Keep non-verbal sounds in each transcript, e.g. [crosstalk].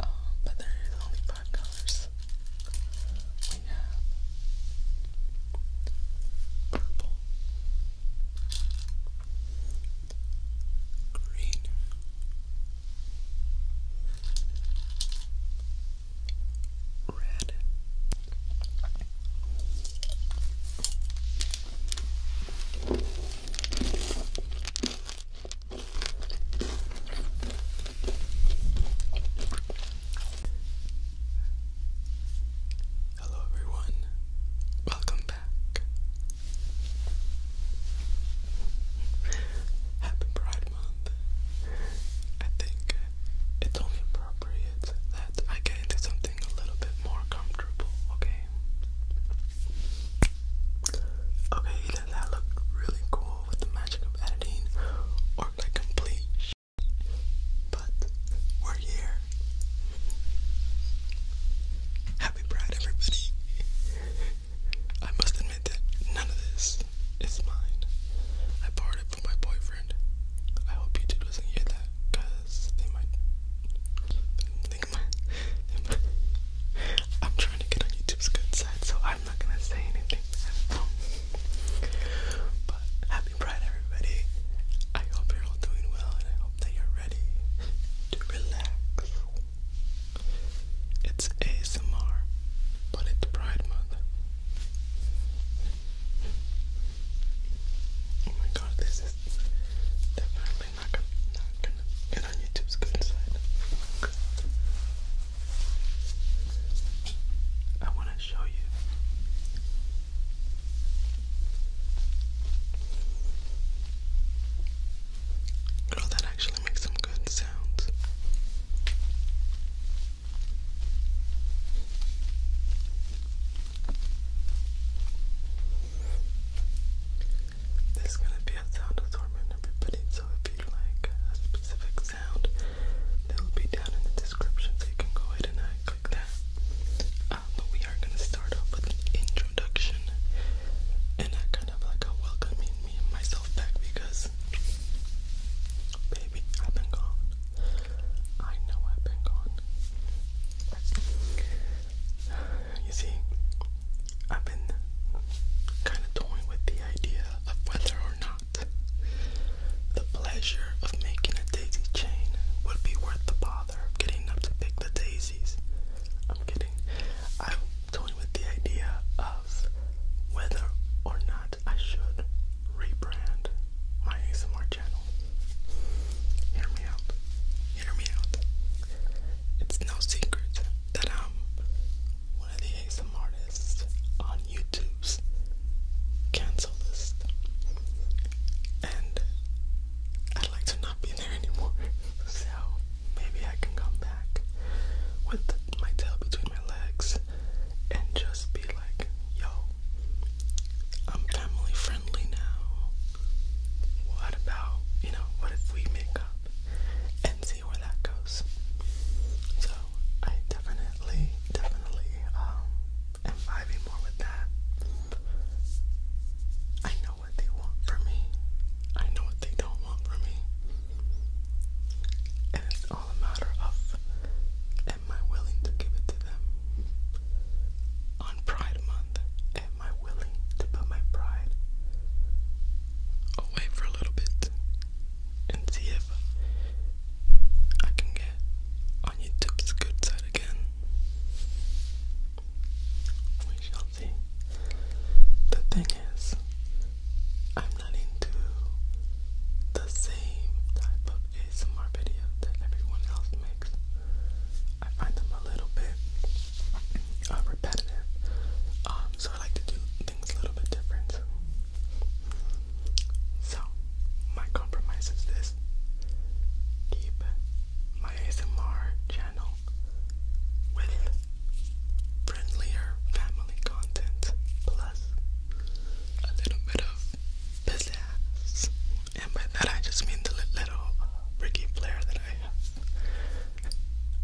Oh, but there is only five colors. We have purple, green, red. Hello, everyone. Welcome back. Happy Pride I think it's only appropriate that I get into something a little bit more comfortable, okay? Okay, either that looked really cool with the magic of editing or like complete but we're here. Happy Pride, everybody. I must admit that none of this is mine. I borrowed it from my boyfriend. I hope YouTube doesn't hear that, cause they might think my. They might. I'm trying to get on YouTube's good side, so I'm not gonna say anything. But happy Pride, everybody. I hope you're all doing well, and I hope that you're ready to relax. It's ASMR but it's Pride Month. Oh my god, this is definitely not gonna, get on YouTube's good side. I want to show you. Girl, that actually makes some good sounds. There's gonna be a sound assortment, everybody. So if you like a specific sound, they'll be down in the description, so you can go ahead and uh, click that. Uh, we are gonna start off with an introduction, and I kind of like a welcoming me myself back because Baby, I've been gone. I know I've been gone. You see, I've been kind of toying with the idea of whether or not the pleasure of making a daisy chain would be worth the bother of getting up to pick the daisies. I'm kidding. I'm toying with the idea of whether or not I should rebrand my ASMR channel. Hear me out. Hear me out. It's no secret that I'm one of the ASMR artists on YouTube's cancel list. And I'd like to not be there anymore. [laughs] so maybe I can come back with my tail between my legs and just be like, yo, I'm family friendly now. What about, you know, what if we make up and see where that goes? So I definitely, definitely um, am vibing more with that. I know what they want from me. I know what they don't want from me all a matter of am I willing to give it to them? On Pride Month, am I willing to put my pride away for a little bit and see if I can get on YouTube's good side again? We shall see. The thing is, I'm not into the same type of ASMR video that everyone else makes. I find them a little bit uh, repetitive, um, so I like to do things a little bit different. So, my compromise is this keep my ASMR channel with friendlier family content plus a little bit of pizzazz. And by that I just mean the little Ricky Flair that I have.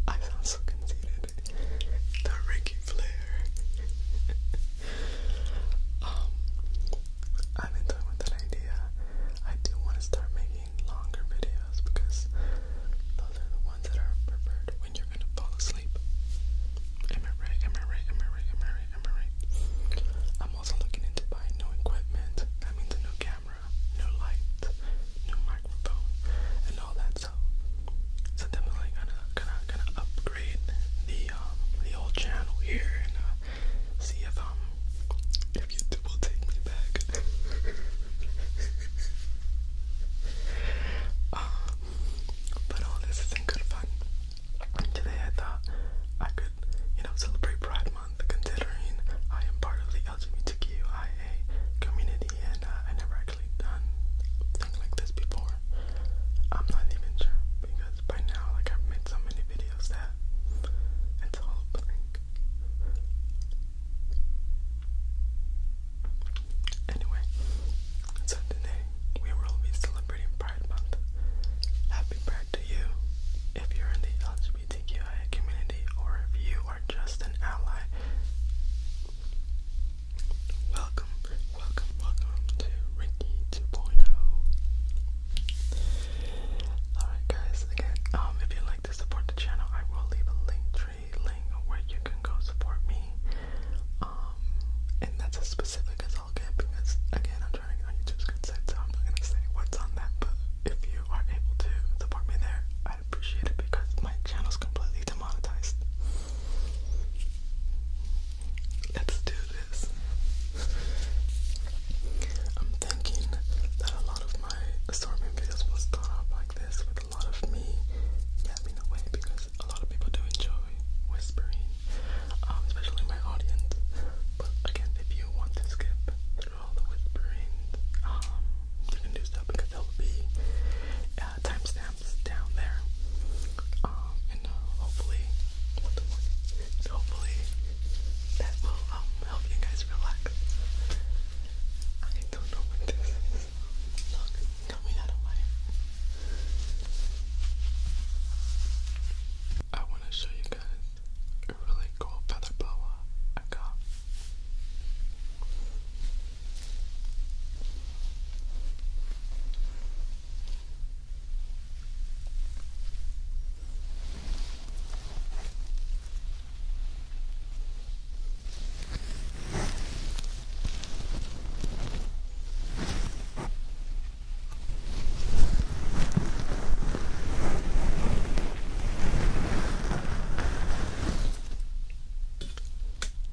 I sound so conceited. The Ricky Flair. [laughs] um, I've been toying with that idea. I do want to start making longer videos because those are the ones that are preferred when you're and fall asleep. Am I right? Am I right? Am I right? Am I right? Am I right? I'm also looking into buying new equipment. That means a new camera, new light, new microphone, and all that stuff. So definitely gonna gonna gonna upgrade the um, the old channel here and uh, see if um if YouTube will take me back. um, [laughs] But all this is in good fun. today I thought I could, you know, celebrate Pride Month considering I am part of the LGBTQIA community and uh, I never actually done thing like this before. I'm not even sure because by now like I've made so many videos that it's all blank. Anyway, so today we will be celebrating Pride Month. Happy Pride to you if you're in the LGBTQIA community or if you are just an ally. Welcome, welcome, welcome to Ricky 2.0. Alright guys, again, um, if you'd like to support the channel, I will leave a link tree link where you can go support me. Um, and that's as specific as I'll get because, again, I'm trying to get YouTube's good so I'm not gonna say what's on that. But if you are able to support me there, I'd appreciate it because my channel's completely demonetized. Let's do this. I'm thinking that a lot of my assortment videos will start off like this with a lot of me yapping away because because a lot of people do enjoy whispering, um, especially my audience. But again, if you want to skip through all the whispering, um, you can do so because there will be uh, timestamps down there. Um, and uh, hopefully, hopefully that will help you guys relax. I don't know what this is. Look. Tell me that away. I want to show you guys a really cool feather boa I got.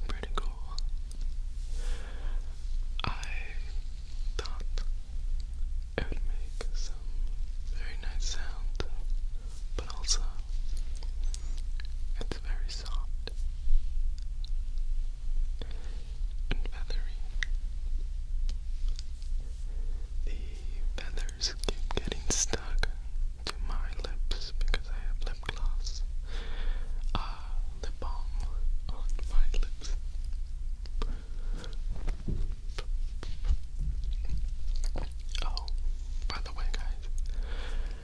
Pretty cool. I thought it would make some very nice sound, but also it's very soft and feathery. The feathers keep getting stuck to my lips because I have lip gloss, uh, lip balm on my lips. Oh, by the way, guys,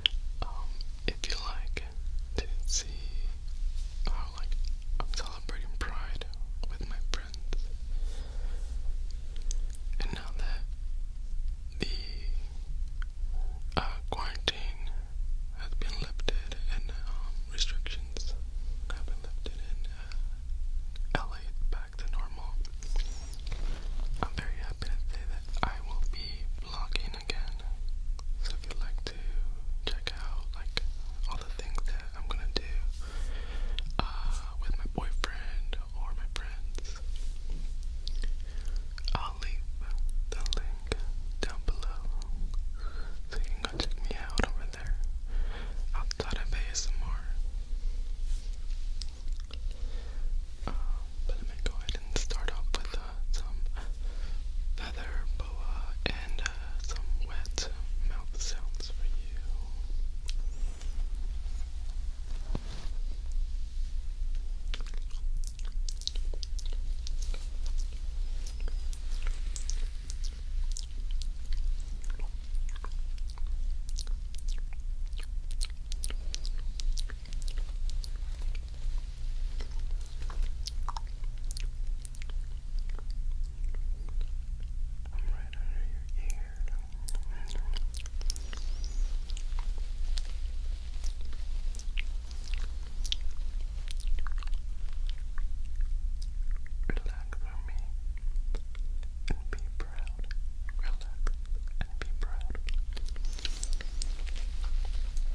um, if you like to see how like I'm celebrating Pride with my friends, and now that the uh, quarantine has been lifted and um, restrictions have been lifted in uh, back to normal. I'm very happy to say that I will be vlogging again. So if you'd like to check out like all the things that I'm gonna do uh, with my boyfriend or my friends, I'll leave the link down below so you can go check me out over there outside of ASMR. Uh, um, but let me go ahead and start off with uh, some feather boa, and uh, some wet mouth sounds for you. I'm right under your ear. Relax on me and be proud. Relax and be proud.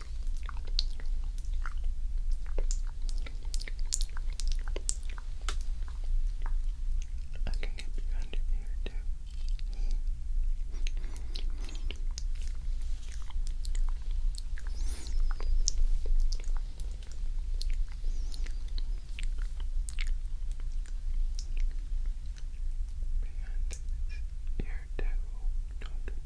I can get you under here too. Beyond this ear too. Don't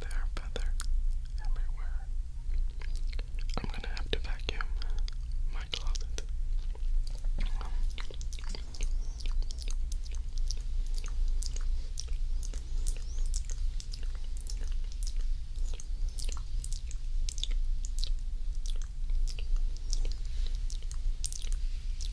There are feathers everywhere. I'm gonna have to vacuum my closet.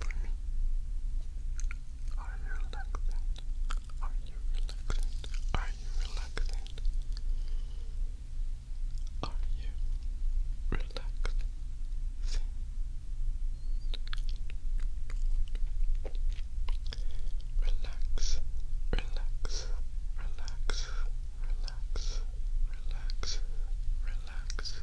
For me. Are you relaxing? Are you relaxing? Are you relaxing? Are you relaxing? Relax, relax, relax, relax, relax, relax, relax,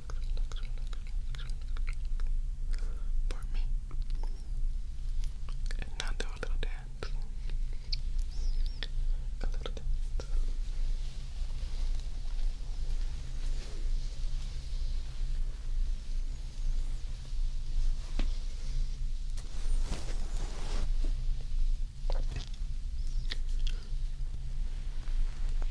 relax, relax, me. And now do a little dance. A little dance.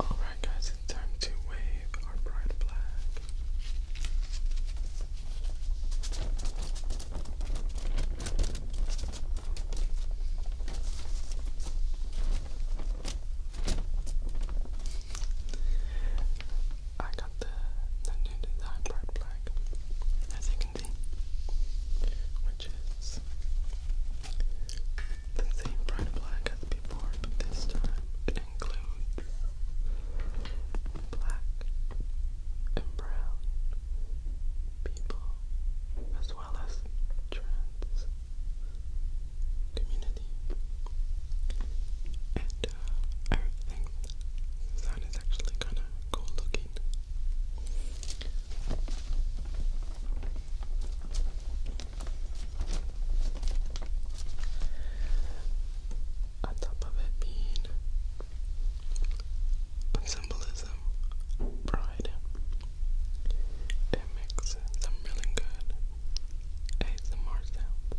Alright, guys, it's time to wave our pride flag. I got the the new design part black, as you can see, which is the same bright black as before, but this time it includes black and brown people, as well as trans community. And uh, I is actually kind of cool looking. On top of it being symbolism, pride. It makes some really good ASMR sounds.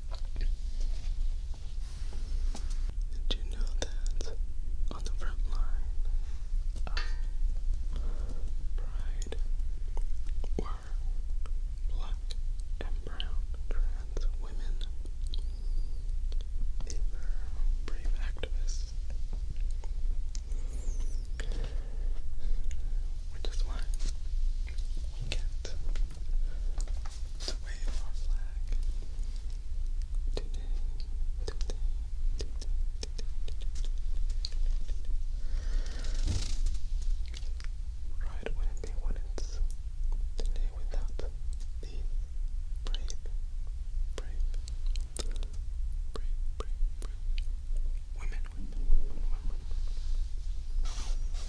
Did you know that on the front line Pride were black and brown trans women? They were brave activists. Which is why we get to wave our flag. Today, today, today, today, today. Right wouldn't be what it's today without these brave, brave, brave, brave, brave women, women, women, women.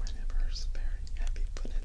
My neighbor is very happy put it.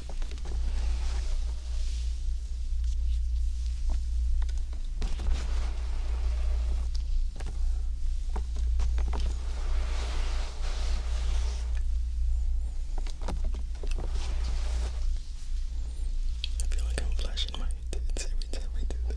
I feel like I'm flashing my tits every time I do that.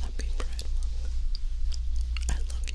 Happy Pride Month. I love you.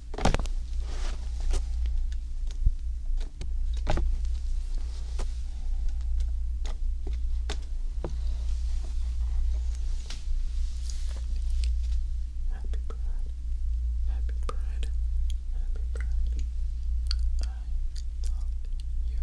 Happy Pride, Happy Pride, Happy Pride. I love you. Happy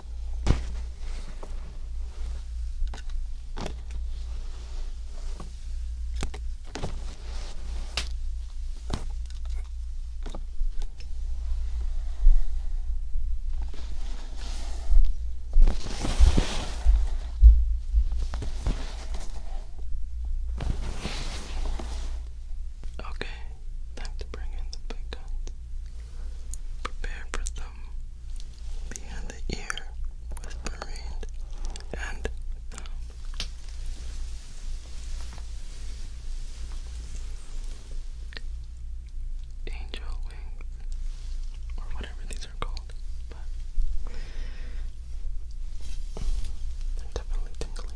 Okay, time to bring in the big guns. Prepare for them behind the ear, whispering, and um, Angel wings, or whatever these are called, but they're definitely tingling.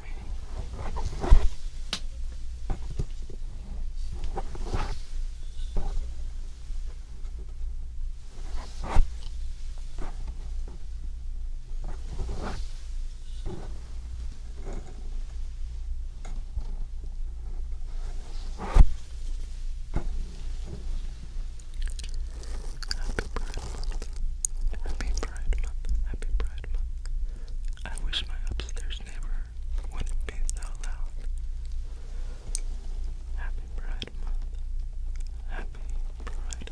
Happy birthday. Happy Pride Month. Happy Pride Month. I wish my upstairs neighbor wouldn't be so loud. Happy Pride Month. Happy Pride.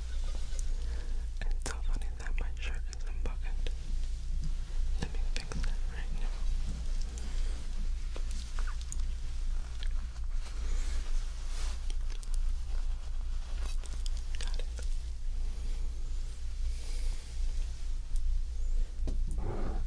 It's so funny that my shirt is unbuttoned. Let me fix that right now. Got it.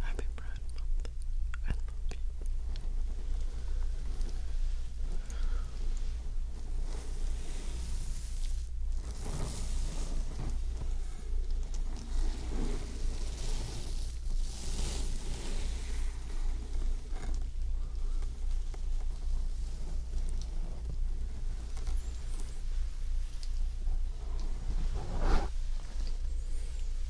Happy Pride I love you.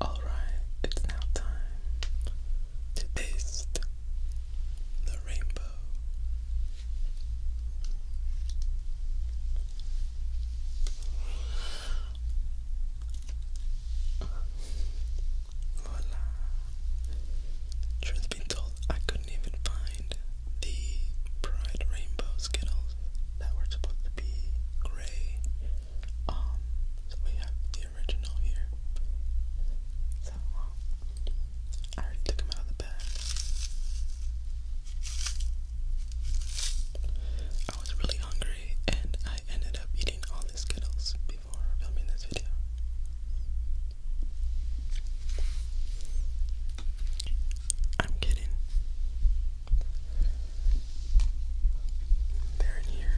All right, it's now time to taste the rainbow. Voila. Truth be told, I couldn't even find the bright rainbow Skittles that were supposed to be gray. Um, so we have the original here. So, I already took them out of the bag. I was really hungry and I ended up eating all these Skittles before filming this video. I'm kidding. They're in here.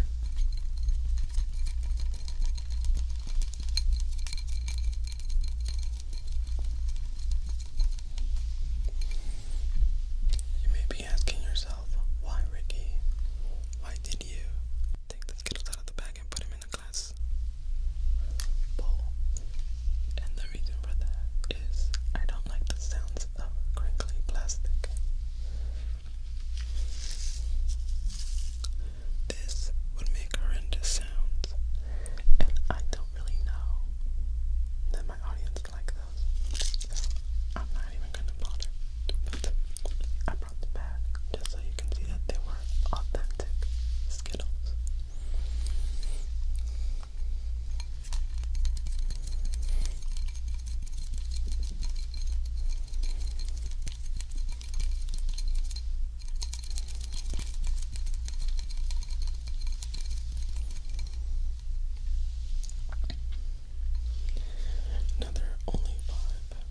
You may be asking yourself, why Ricky? Why did you take the Skittles out of the bag and put him in glass bowl. And the reason for that is I don't like the sounds of crinkly plastic. This would make horrendous sounds, and I don't really know that my audience like those, so I'm not even gonna bother. I brought them back just so you can see that they were authentic. Skittles. Another only five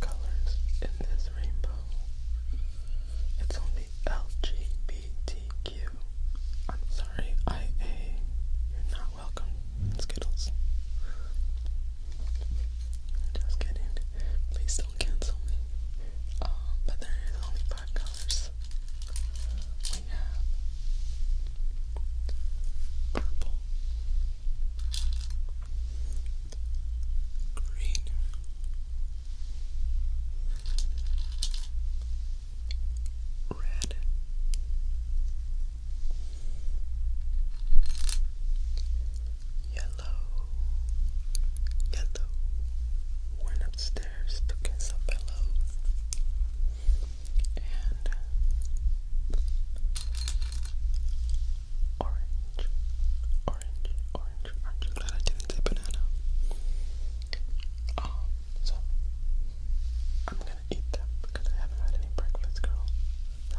colors in this rainbow. It's only LGBTQ. I'm sorry, IA. You're not welcome, Skittles. Just kidding. Please don't cancel me. Um, but there is only five colors. We have purple, green, red, yellow, yellow. Went upstairs to get some pillows and uh, Orange, orange, orange, orange. I'm glad I didn't say banana. Um, so I'm gonna eat them because I haven't had any breakfast, girl. No.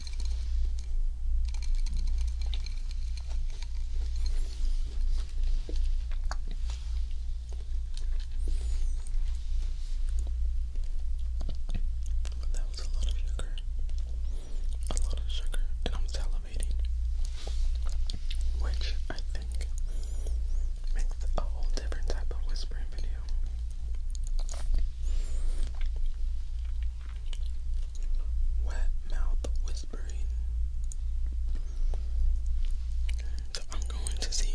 But that was a lot of sugar. A lot of sugar. I'm salivating. Which I think makes a whole different type of whispering video. Wet mouth whispering. I'm going to see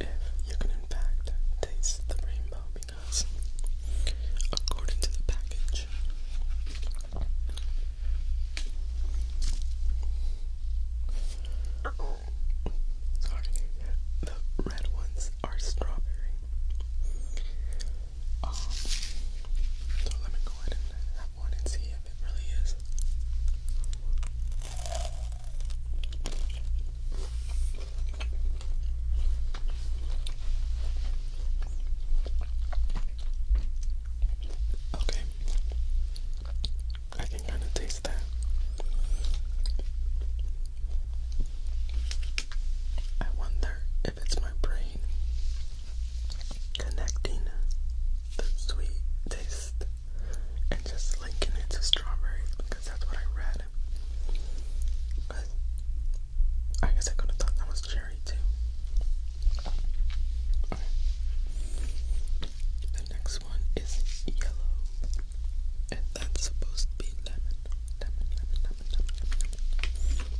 if you can in fact taste the rainbow because according to the package Sorry, the red ones are strawberry um, let me go ahead and have one and see if it really is. Okay, I can kind of taste that. I wonder if it's my brain connecting the sweet taste and just linking it to strawberries because that's what I read. But I guess I could have thought that was cherry too. The next one is yellow, and that's supposed to be lemon lemon, lemon, lemon, lemon, lemon.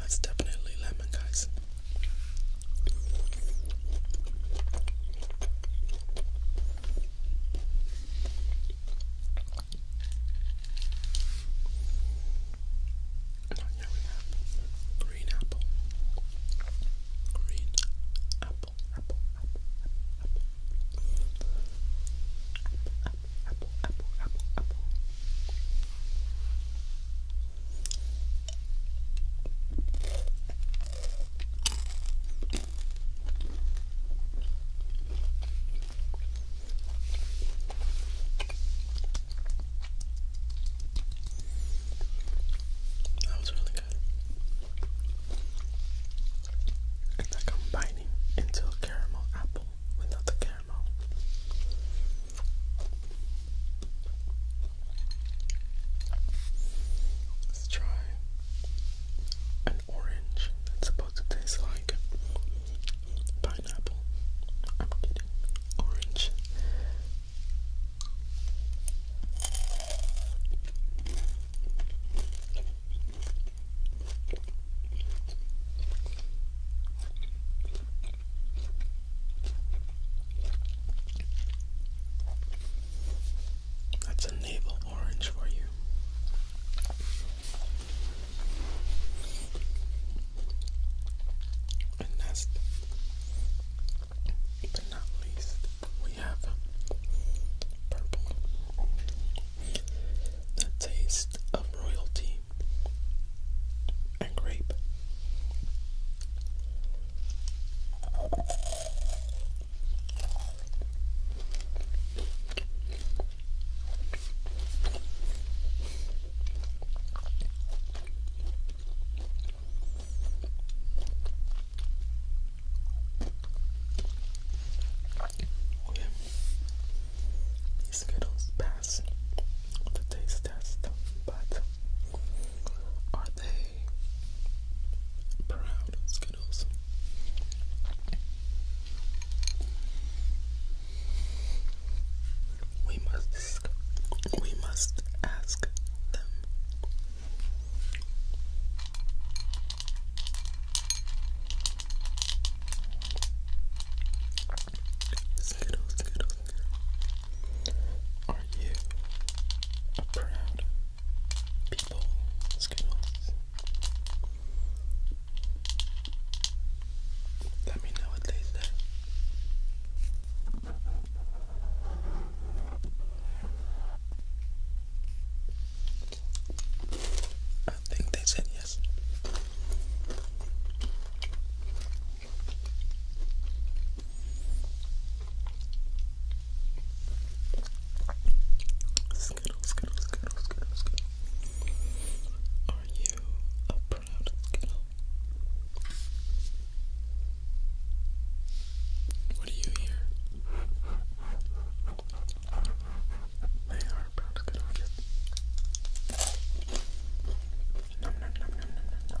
That's definitely lemon, guys. Oh, and here we have green apple. Green apple, apple, apple, apple, apple, apple, apple, apple, apple, apple. That was really good. It's like i into a caramel apple without the caramel. Let's try an orange that's supposed to taste like pineapple. I'm kidding. Orange. That's a navel orange for you. And last but not least, we have purple. The taste of royalty and grape. Okay. These Skittles pass the taste test, but are they proud we must we must ask them. Skittles, Skittles, Are you a proud people. What's Let me know what they say. I think they said yes. Skittle, skittle, skittle, skittle, skittle. Are you a proud skittle? What do you hear? They are proud skittle kids. Nom, nom, nom, nom, nom, nom,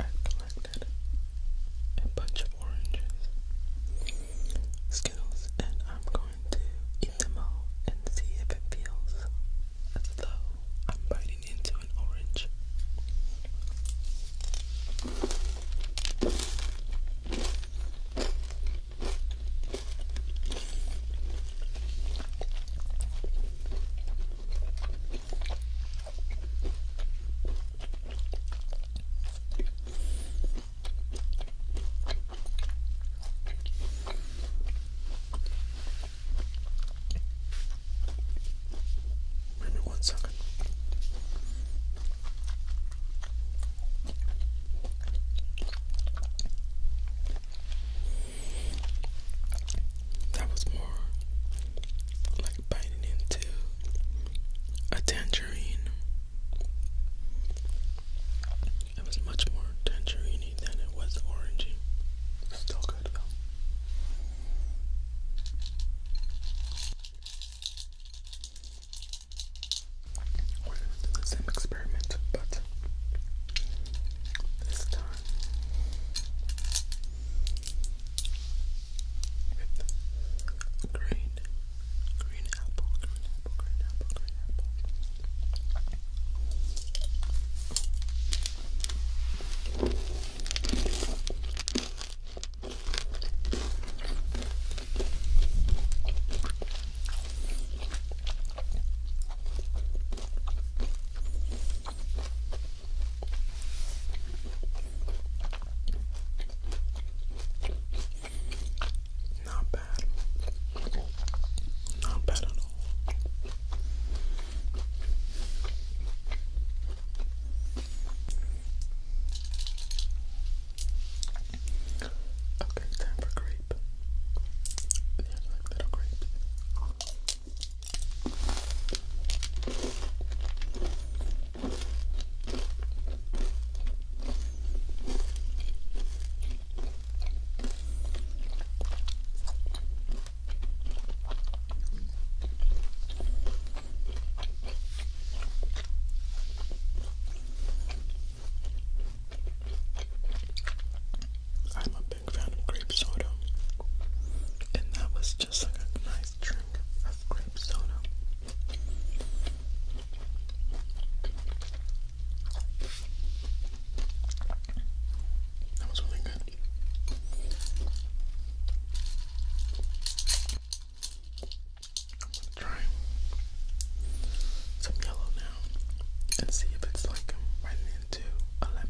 I collected a bunch of oranges, Skittles, and I'm going to eat them all and see if it feels as though I'm biting into an orange. Give me one second. That was more like biting into a tangerine. It was much more tangerine than it was orangey. Still good though. We're gonna do the same experiment, but this time. With green, green apple, green apple, green apple, green apple. Not bad. Not bad at all. Okay, time for grape. There's like little grapes. I am love big grape soda, and that was just like a nice drink of grape soda. That was really good. I'm gonna try some yellow now and see if it's like biting into a lemon.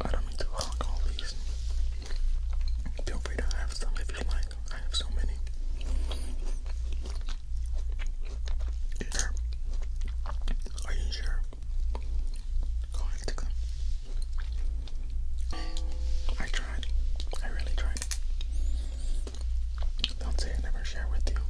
I don't mean to hog all these. Feel free to have some if you like. I have so many. Sure. Are you sure? Go ahead, take them. I tried. I really tried. Don't say I never share with you.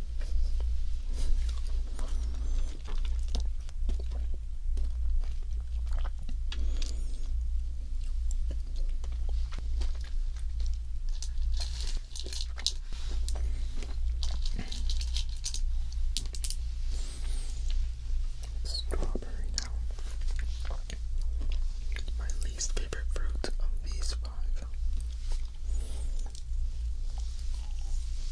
Strawberry now. My least favorite fruit of these five.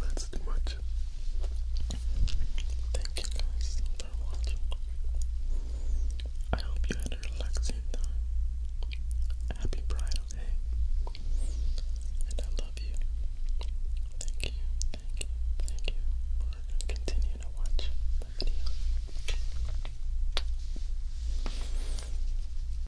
That's too much. Thank you guys for watching. I hope you had a relaxing time. Happy bridal day. And I love you. Thank you, thank you, thank you for continuing to watch my video.